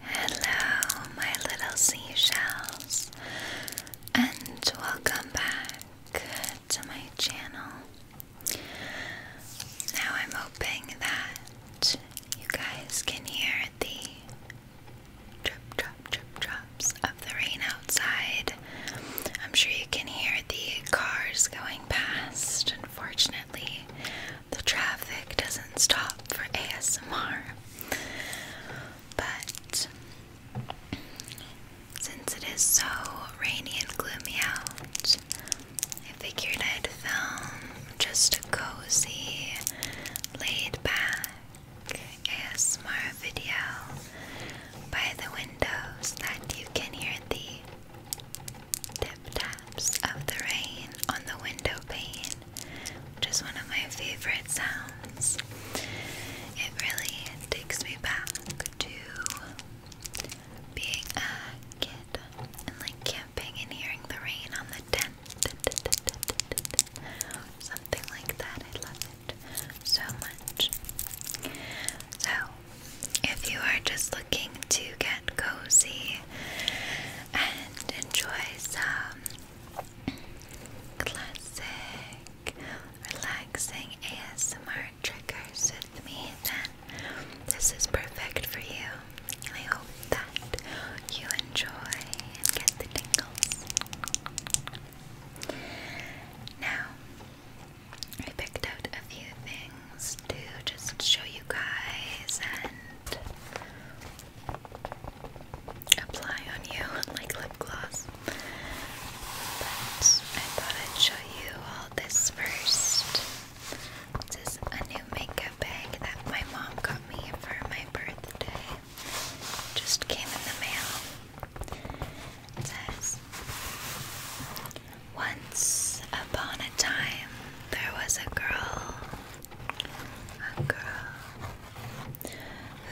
Hello, my little seashells, and welcome back to my channel. Now, I'm hoping that you guys can hear the drip, drop, drip, drops of the rain outside. I'm sure you can hear the cars going past. Unfortunately, the traffic doesn't stop for ASMR. But since it is so rainy and gloomy out, I figured I'd film just a cozy, laid back ASMR video by the windows that you can hear the tip of the rain on the window pane which is one of my favorite sounds. It really takes me back to being a kid and like camping and hearing the rain on the tent. Something like that. I love it so much. So, if you are just looking to get cozy and enjoy some classic, relaxing ASMR triggers with me, then this is perfect for you. I hope that you enjoy and get the tingles. Now, I picked out a few things to just show you guys and apply on you like lip gloss. But I thought I'd show you all this first. This is a new makeup bag that my mom got me for my birthday. Just came in the mail. It says, Once upon a time, there was a girl a girl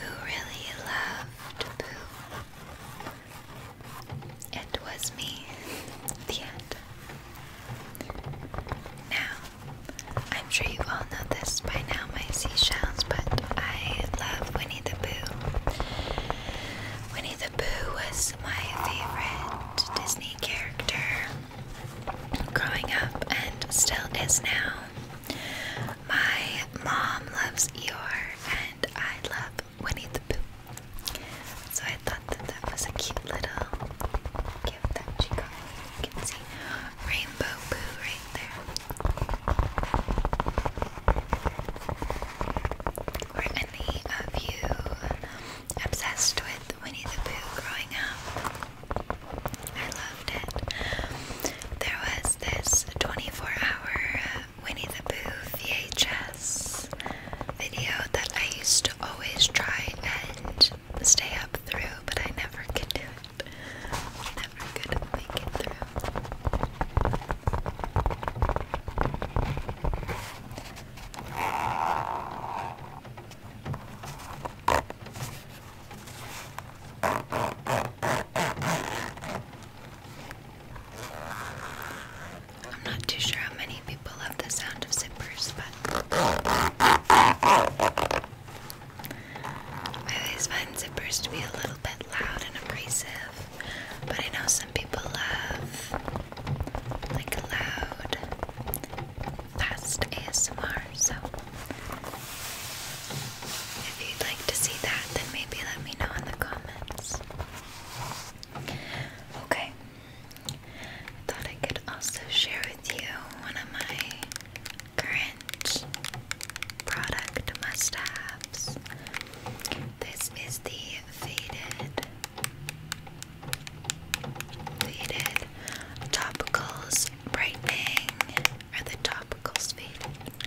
who really loved poo. It was me. The end. Now, I'm sure you all know this by now, my seashells, but I love Winnie the Pooh. Winnie the Pooh was my favorite Disney character growing up and still is now. My mom loves Eeyore and I love Winnie the Pooh. So I thought that that was a cute little gift that she got. You can see Rainbow Pooh right there. Were any of you obsessed with Winnie the Pooh growing up? I loved it. There was this 24 hour uh, Winnie the Pooh VHS video that I used to always try and stay up through, but I never could do it. never could make it through. I'm not too sure how many people love the sound of zippers, but I always find zippers to be a little bit loud and aggressive. But I know some people love like loud past ASMR, so if you'd like to see that, then maybe let me know in the comments. Okay, thought I could also share with you one of my current product must haves. This is the Faded Faded. Topicals brightening. Are the topicals faded?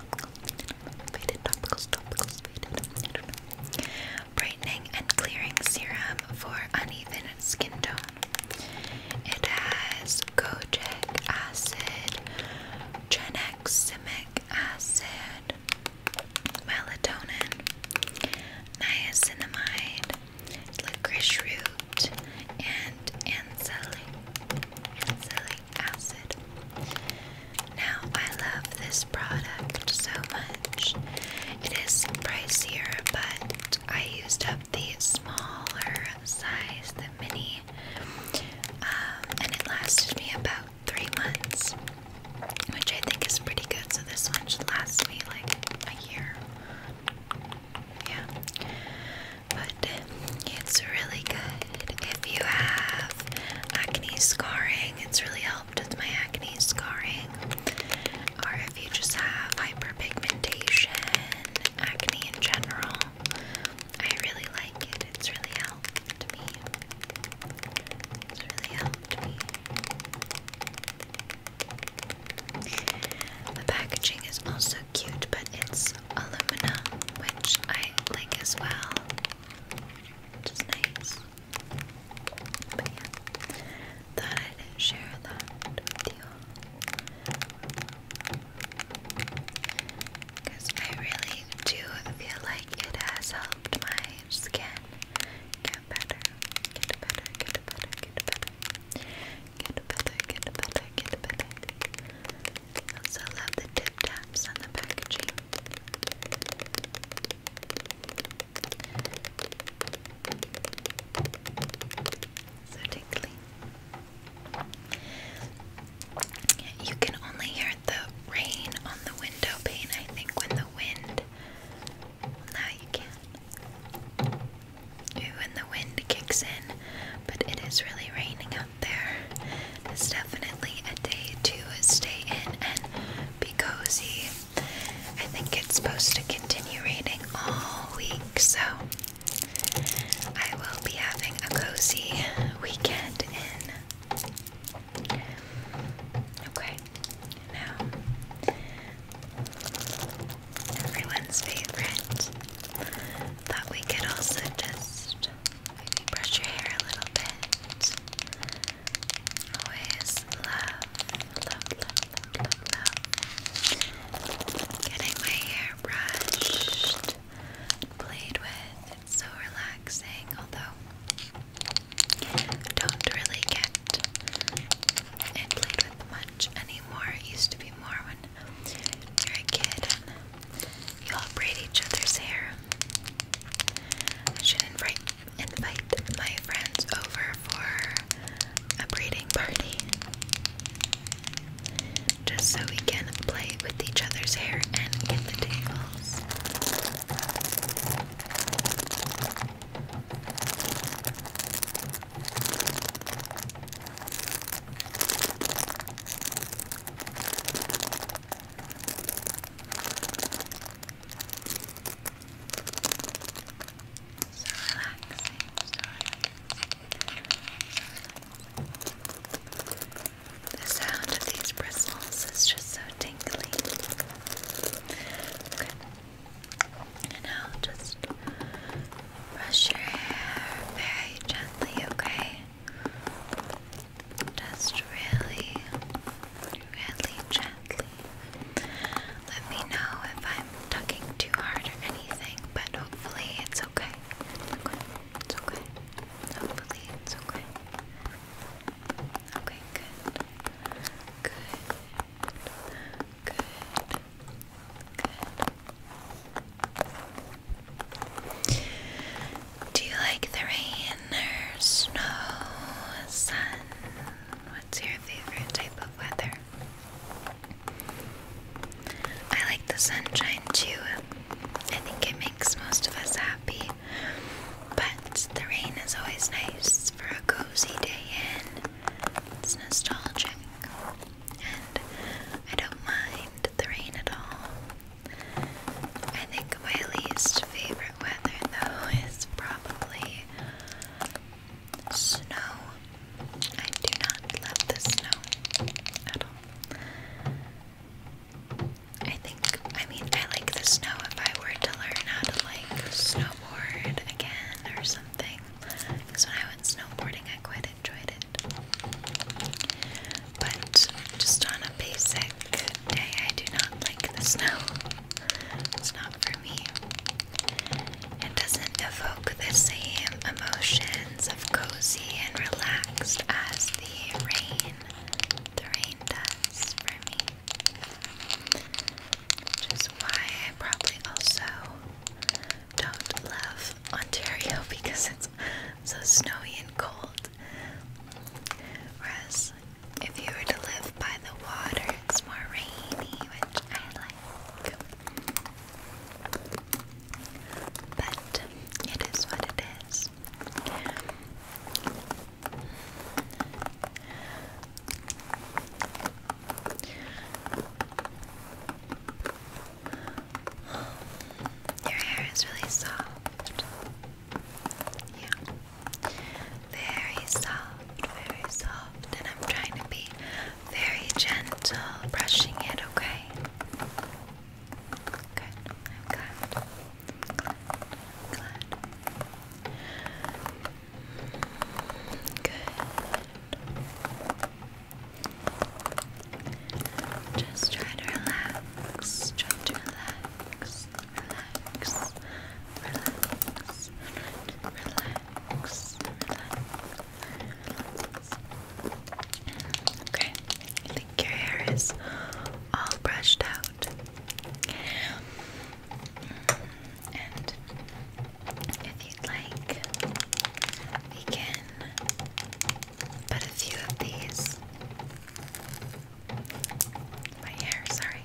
topicals, topicals faded. Brightening and clearing serum for uneven skin tone. It has kojic acid, tranexamic acid, melatonin, niacinamide, licorice root, and ancelic, ancelic acid. Now, I love this product so much. It is pricier, but I used up the smaller size, the mini, um, and it lasted me about three months, which I think is pretty good. So, this one should last me like a year. Yeah. But it's really good. If you have acne scarring, it's really helped with my acne scarring. Or if you just have hyperpigmentation, acne in general, I really like it. It's really helped me. It's really helped me. The packaging is also cute, but it's aluminum, which I like as well, which nice. But yeah, thought I'd share that with Because I really do feel like it has helped my skin get better, get better, get better, get better, Get better, get better, get better. Also love the tip taps on the packaging. So tickly. You can only hear the rain on the window pane, I think, when the wind now you can. Ooh, and the wind kicks in, but it is really raining out there. It's definitely a day to stay in and be cozy. I think it's supposed to continue raining all week, so I will be having a cozy weekend in. Okay, now. Everyone's favorite. Thought we could also just brush your hair a little bit. Always love, love, love, love, love, Getting my hair brushed, played with. so relaxing, although don't really get and played with much anymore. It used to be more when you're a kid you all braid each other's hair. I should invite invite my friends over for a braiding party. Just so we can play with each other's hair and get the tingles. The sound of these bristles is just so tingly. Okay. And now just brush your hair very gently, okay? Just really, really gently. Let me know if I'm tugging too hard or anything, but hopefully it's okay. It's okay. It's okay. Hopefully it's okay. Okay, good. Good. Good. Good. Do you like the rain or snow, sun? What's your favorite type of weather? I like the sunshine too. I think it makes most of us happy. But the rain is always nice for a cozy day in. It's nostalgic, and I don't mind the rain at all. I think my least favorite weather, though, is probably snow. I do not love the snow at all. I think, I mean, I like the snow if I were to learn how to like snowboard again or something something. when I went snowboarding, I quite enjoyed it. But just on a basic day, I do not like the snow. It's not for me. It doesn't evoke the same emotions of cozy and relaxed as the rain. The rain does for me. Which is why I probably also don't love Ontario because it's so snowy and cold. Whereas if you were to live by the water, it's more rainy, which I like. But it is what it is. Your hair is really soft. Yeah. Very soft, very soft. And I'm trying to be very gentle brushing it, okay? Good. I'm glad. Glad. Glad. Good. Just try to relax. Try to relax. Relax. Relax. Relax. Relax. Okay. I think your hair is all brushed out. And if you'd like, we can put a few of these. My hair, sorry.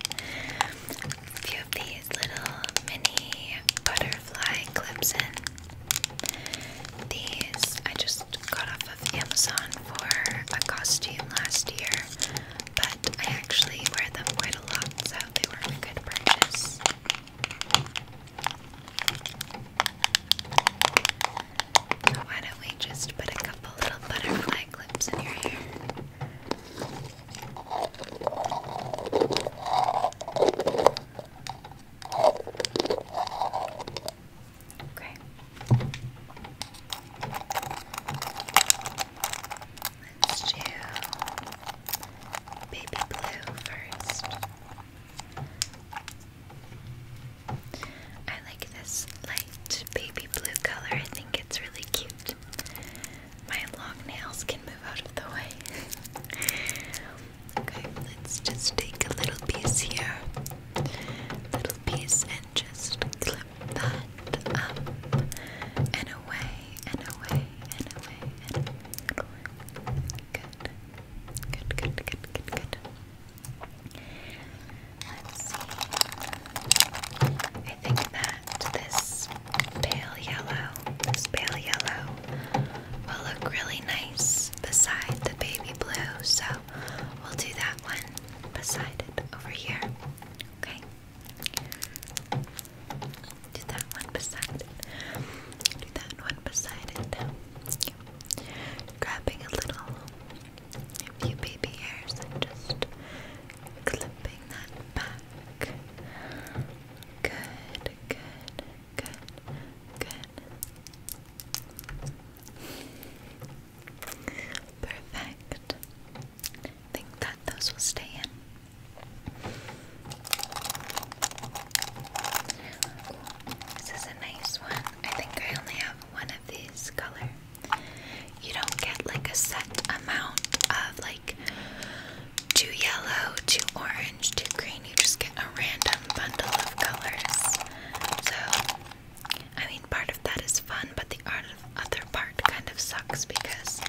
few of these little mini butterfly clips in. These I just got off of Amazon for a costume last year, but I actually wear them quite a lot, so thought they were a why don't we just put a couple little butterfly clips in your hair? Okay. Let's do baby blue first. I like this light baby blue color. I think it's really cute. My long nails can move out of the way. okay, let's just take a little piece here, little piece, and just clip flip that up and away and away and away and away. Good. Good, good, good, good, good. Let's see. I think that this pale yellow, this pale yellow will look really nice beside the baby blue. So we'll do that one beside it over here. Okay. Do that one beside it. Do that one beside it. Grabbing a little few baby hairs and just clipping that back. Good, good, good, good. Perfect. I think that those will stay in. this is a nice one. I think I only have one of these color. You don't get like a set amount of like two yellow, two orange, two green. You just get a random bundle of colors. So, I mean, part of that is fun, but the other part kind of sucks because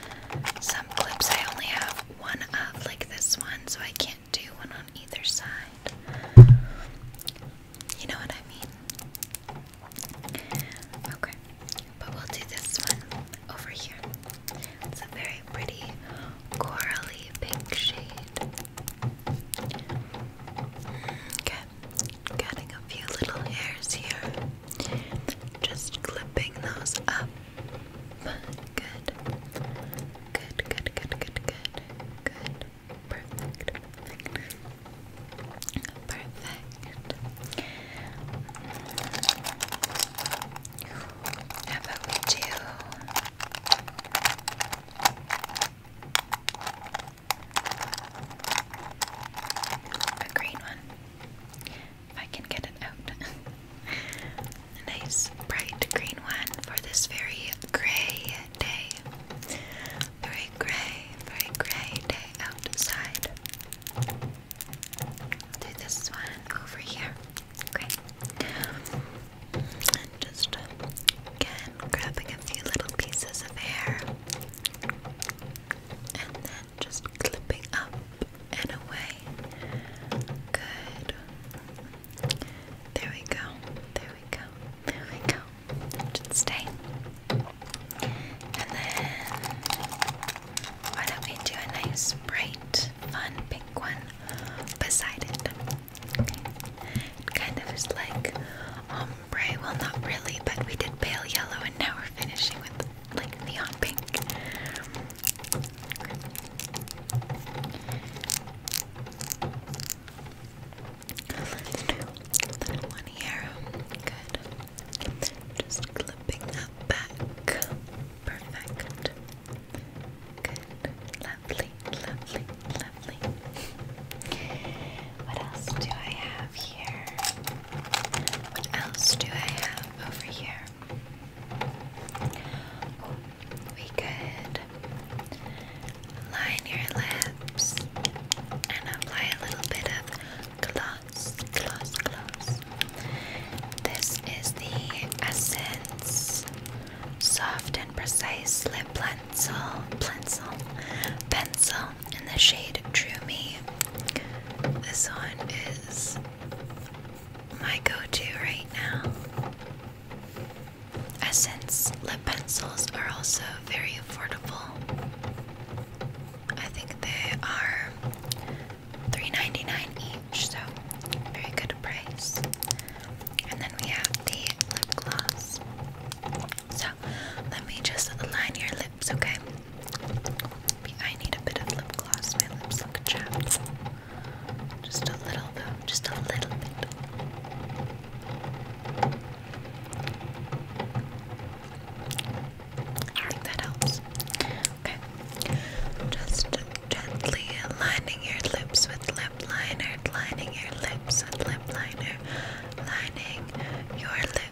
some clips I only have one of, like this one, so I can't do one on either side. You know what I mean? Okay, but we'll do this one over here. It's a very pretty corally pink shade. Okay, mm, getting a few little hairs here. Just clipping those up. Good. Good, good, good, good, good. Good. Perfect. Perfect. Perfect. about we do? A green one if I can get it out. A nice bright green one for this very gray day. Very gray, very gray day outside. I'll do this one over here. Great. And just again grabbing a few little pieces of hair. Just clipping up and away. Good. There we go. There we go. There we go. Just stay. And then why don't we do a nice, bright, fun pink one beside it? Okay. kind of is like ombre. Well, not really, but we did pale yellow, and now we're finishing with like neon pink. one here. Good. Just clipping that back. Perfect. Good. Lovely, lovely, lovely. What else do I have here? What else do I have over here? Oh, we could line your lips and apply a little bit of gloss, gloss, gloss. This is the Essence Soft and Precise Lip Pencil, Pencil, Pencil in the shade Drew Me. This one is my go to right now. Essence lip pencils are also very affordable. I think they are 3 each, so very good price. And then we have the lip gloss. So let me just line your lips, okay? I need a bit of lip gloss. My lips look chapped. Just a little though. Just a little bit. I that helps. Okay. Just gently lining your lips with lip liner, lining your lips with lip liner, lining your lips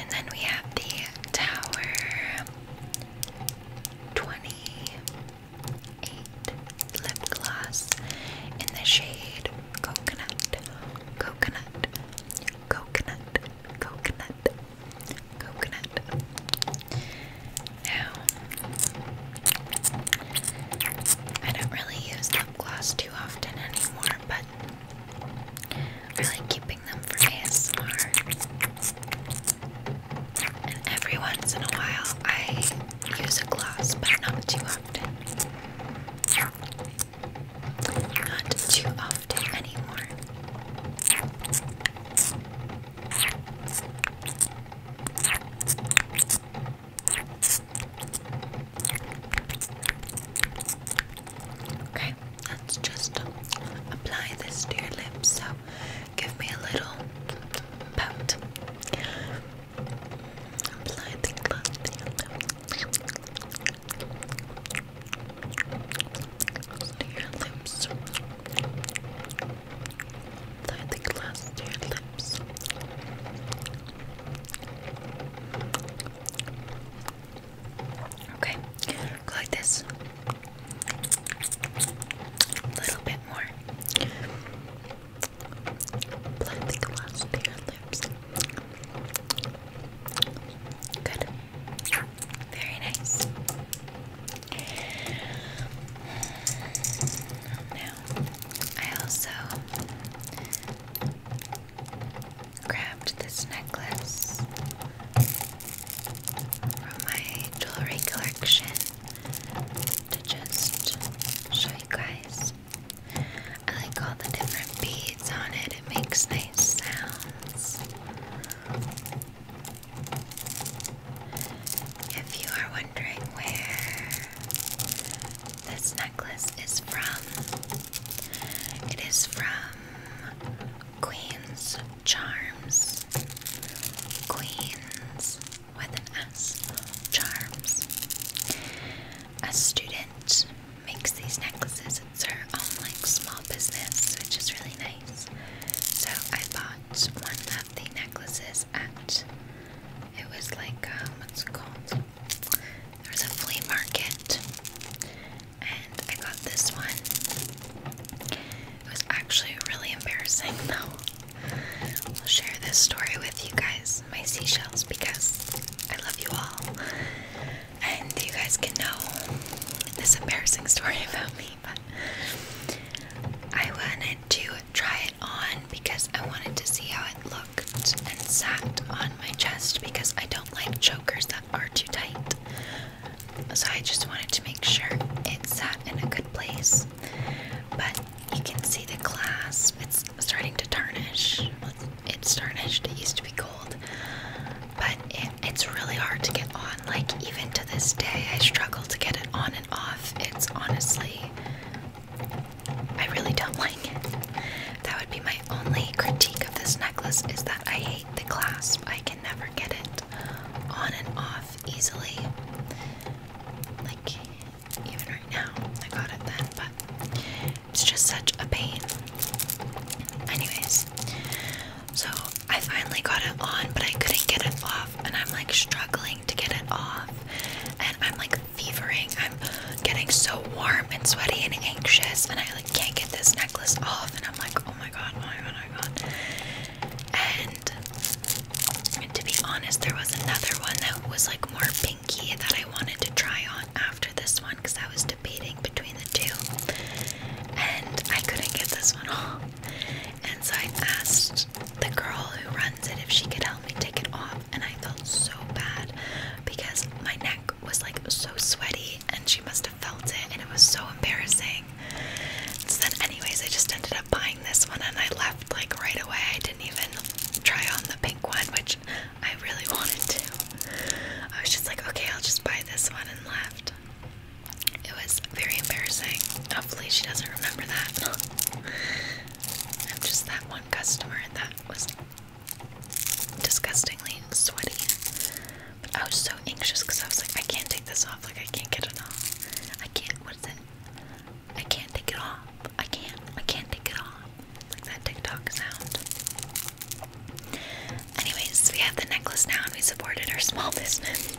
And then we have the Tower 28 lip gloss in the shade Coconut, Coconut, Coconut, Coconut, Coconut. Now, I don't really use lip gloss too often anymore, but I like keeping them for ASMR. And every once in a while, I use a gloss, but not too often. Not too often anymore. Okay, let's just apply this to your lips. So give me a little pout. Apply the glove to your lips. Apply the glass to your lips. Okay, go like this. A little bit more. Apply the gloss to your lips. Good. Very nice. Now, I also grabbed this necklace from my jewelry collection to just show you guys. I like all the different beads on it, it makes nice sounds. If you are wondering where this necklace is from, it is from Queens Charms. Queens with an S. Charms. A student makes these necklaces. It's her own like small business, which is really nice. So I bought one of the necklaces at it was like um, what's called? There was a flea market and I got this one. It was actually really embarrassing though. I'll share this story with you guys, my seashells, because I love you all. And you guys can know this embarrassing story about me, but I wanted to try it on because I wanted to see how it looked and sat on my chest because I don't like chokers that are too tight. So I just wanted to make sure it sat in a good place. But you can see the glass, it's starting to tarnish. It's tarnished, it used to be gold. But it's really hard to get on. Like, even to this day, I struggle to get it on and off. It's honestly, I really don't like it. That would be my only critique of this necklace is that I hate the clasp. I can never forget it on and off easily. Like, even right now, I got it then, but it's just such a pain. Anyways, so I finally got it on, but I couldn't get it off, and I'm like struggling to get it off, and I'm like fevering. I'm getting so warm and sweaty and anxious, and I like can't get this necklace off, and I'm like, oh my my god, my god, my god. And to be honest, there was another one that was like more pinky that I wanted to try on after this one because I was debating between the two. And I couldn't get this one off. And so I asked the girl who runs it if she could help me take it off. And I felt so bad because my neck was like so sweaty and she must have felt it and it was so embarrassing. So anyways I just ended up buying this one and I left like right away. I didn't even try on the pink one which I really wanted to. I was just like okay I'll just buy this one and left. It was very embarrassing. Hopefully she doesn't remember that. I'm just that one customer that was disgustingly sweaty. I was so anxious because I was like, I can't take this off. Like, I can't get it off. I can't. What is it? I can't take it off. I can't. I can't take it off. Like that TikTok sound. Anyways, we have the necklace now, and we supported our small business.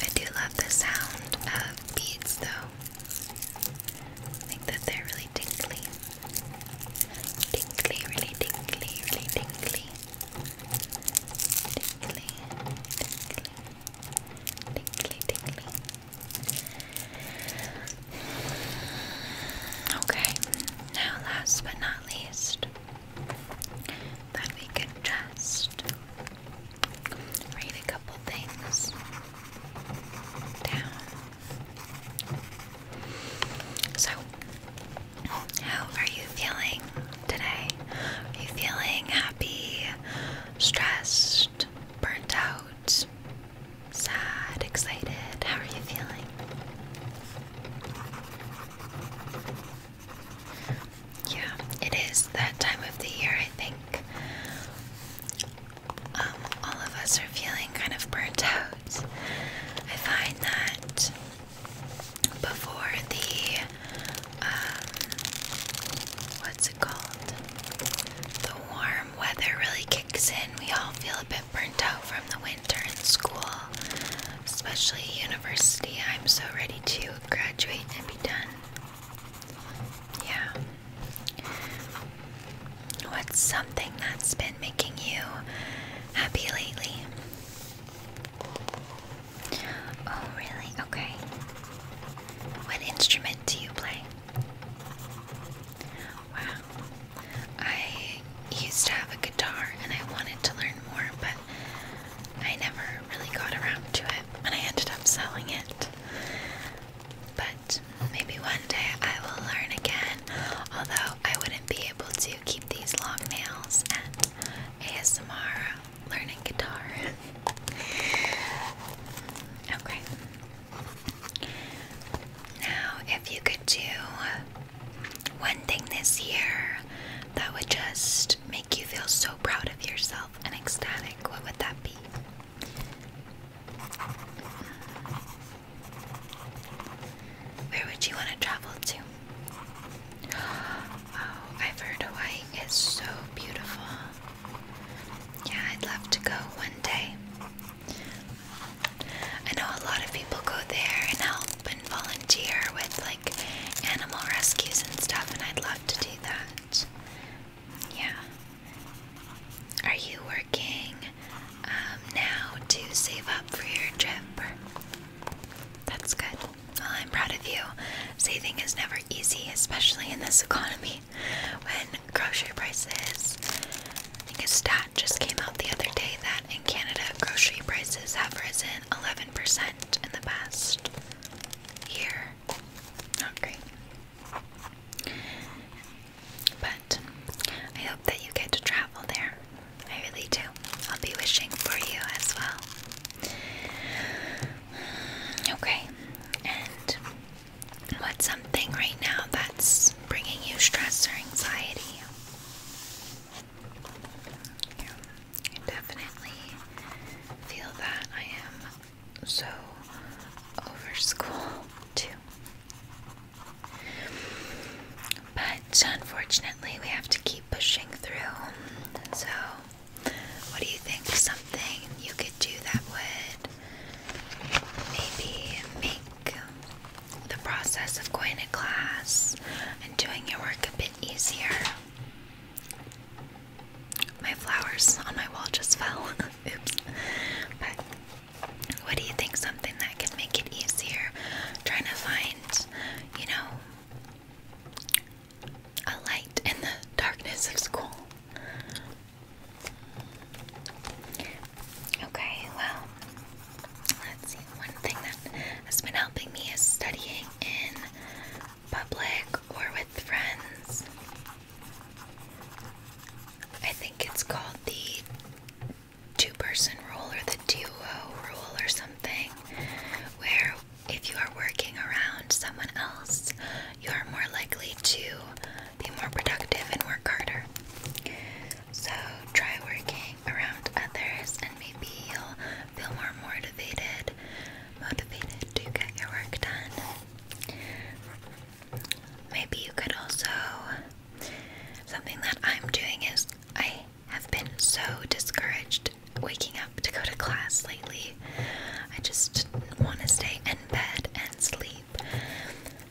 I do love the sound of beads though. I think that they're really tingly. Tingly, really tingly, really tingly. Tingly, tingly, tingly, tingly. Okay, now last but not least, that we can just read a couple things down. So, how are you feeling today? Are you feeling happy, stressed, burnt out, sad, excited? How are you feeling? yeah, it is that time of the year, I think. Um, all of us are feeling kind of burnt out. I find that before the, um, what's it called? The warm weather really kicks in. We all feel a bit burnt out from the winter and school, especially university. I'm so ready to graduate and be done. Yeah. What's something that's been making you happy lately? Oh, really? Okay. What instrument do you play? Wow. I used to have a guitar and I wanted to learn more, but I never really got around to it and I ended up selling it. But maybe one day I will learn again, although I wouldn't be able to keep these long nails and ASMR learning guitar. okay. Now, if you could do one thing this year that would just make you feel so proud of yourself yourself and ecstatic, what would that be? Where would you want to travel to? Oh, I've heard Hawaii is so beautiful. Yeah, I'd love to go one day. I know a lot of people go there and help and volunteer with like animal rescues and stuff, and I'd love to do that. Yeah. Are you working um, now to save up for your trip? That's good. I'm proud of you. Saving is never easy, especially in this economy when grocery prices. I think a stat just came out the other day that in Canada, grocery prices have risen 11% in the past year. Not great. But I hope that you get to travel there. I really do. I'll be wishing for you as well. Okay, and what's something right now that's bringing you stress or anxiety? I definitely feel that I am so over school too. But unfortunately, we have to keep pushing through. So, what do you think? Something you could do that would maybe make the process of going to class and doing your work a bit easier. My flowers on my wall just fell. Oops. But what do you think? Something that can make it easier? Trying to find, you know, a light in the darkness of school. Okay, well, let's see. One thing that has been helping me is studying in public or with friends. I think it's called the two person rule or the duo rule or something, where if you are working around someone else, you are more likely to be more productive and work harder. So try working around others and maybe you'll feel more motivated, motivated to get your work done. Maybe you could also something that I'm doing is I have been so discouraged waking up to go to class lately. I just want to stay in bed and sleep.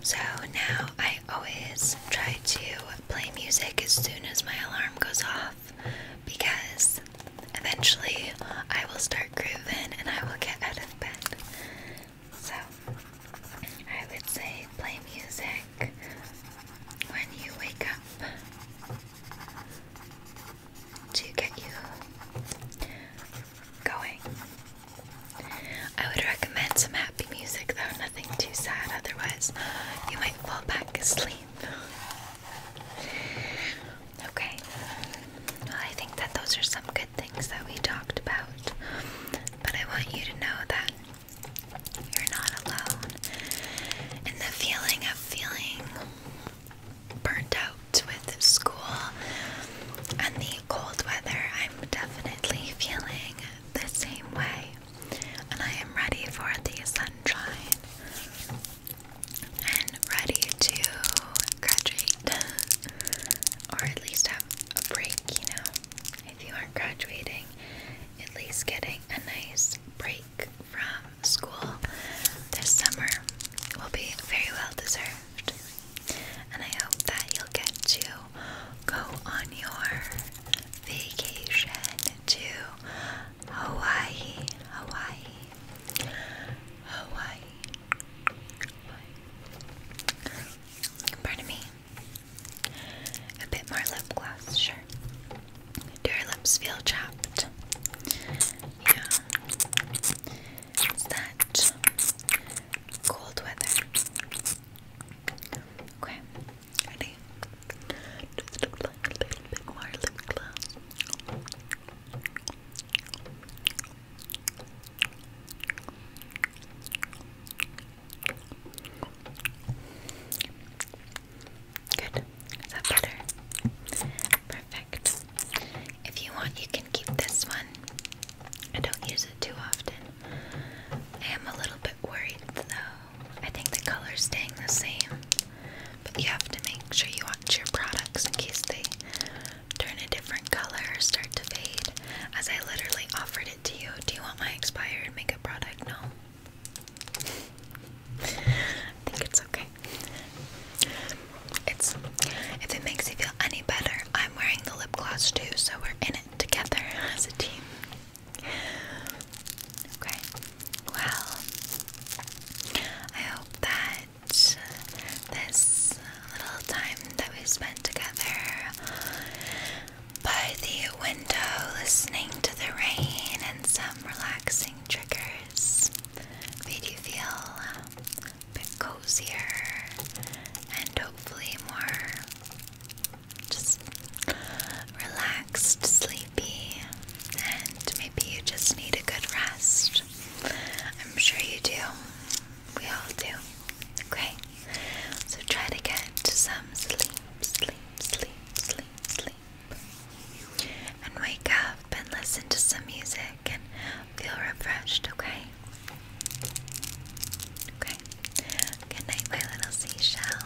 So now I always try to play music as soon as my alarm goes off because eventually I will start grooving and I will get out of bed. So I would say play music when you wake up to get you going. I would recommend some happy music though, nothing too sad, otherwise, you might fall back asleep. Okay. I think that those are some good things that we talked about. But I want you to know that you're not alone. And the feeling of feeling burnt out with school and the cold weather, I'm definitely feeling the same way. And I am ready for the sunshine and ready to graduate or at least have a break, you know. If you aren't graduating, at least getting a nice break from school this summer will be very well deserved. And I hope that you'll get to go on your vacation to Hawaii, Hawaii, Hawaii, Pardon me. A bit more lip gloss, sure. Do your lips feel chapped? Yeah. It's that cold weather. Okay, ready? Just a little bit more lip gloss. Good. Is that better? Perfect. If you want, you can keep this one. I don't use it too often. I am a little bit worried though. I think the color's staying the same. But you have to make sure you watch your products in case they turn a different color or start to fade. As I literally offered it to you. Do you want my expired makeup product? No. I think it's okay. It's if it makes you feel any better, I'm wearing the lip gloss too, so we're in it together as a team. Okay. Well, I hope that this little time that we spent together by the window listening to the rain and some relaxing triggers made you feel a bit cozier and hopefully more just relaxed sleepy, and maybe you just need a good rest. I'm sure you do. We all do. Okay? So try to get some sleep, sleep, sleep, sleep, sleep. And wake up and listen to some music and feel refreshed, okay? Okay. Good night, my little seashell.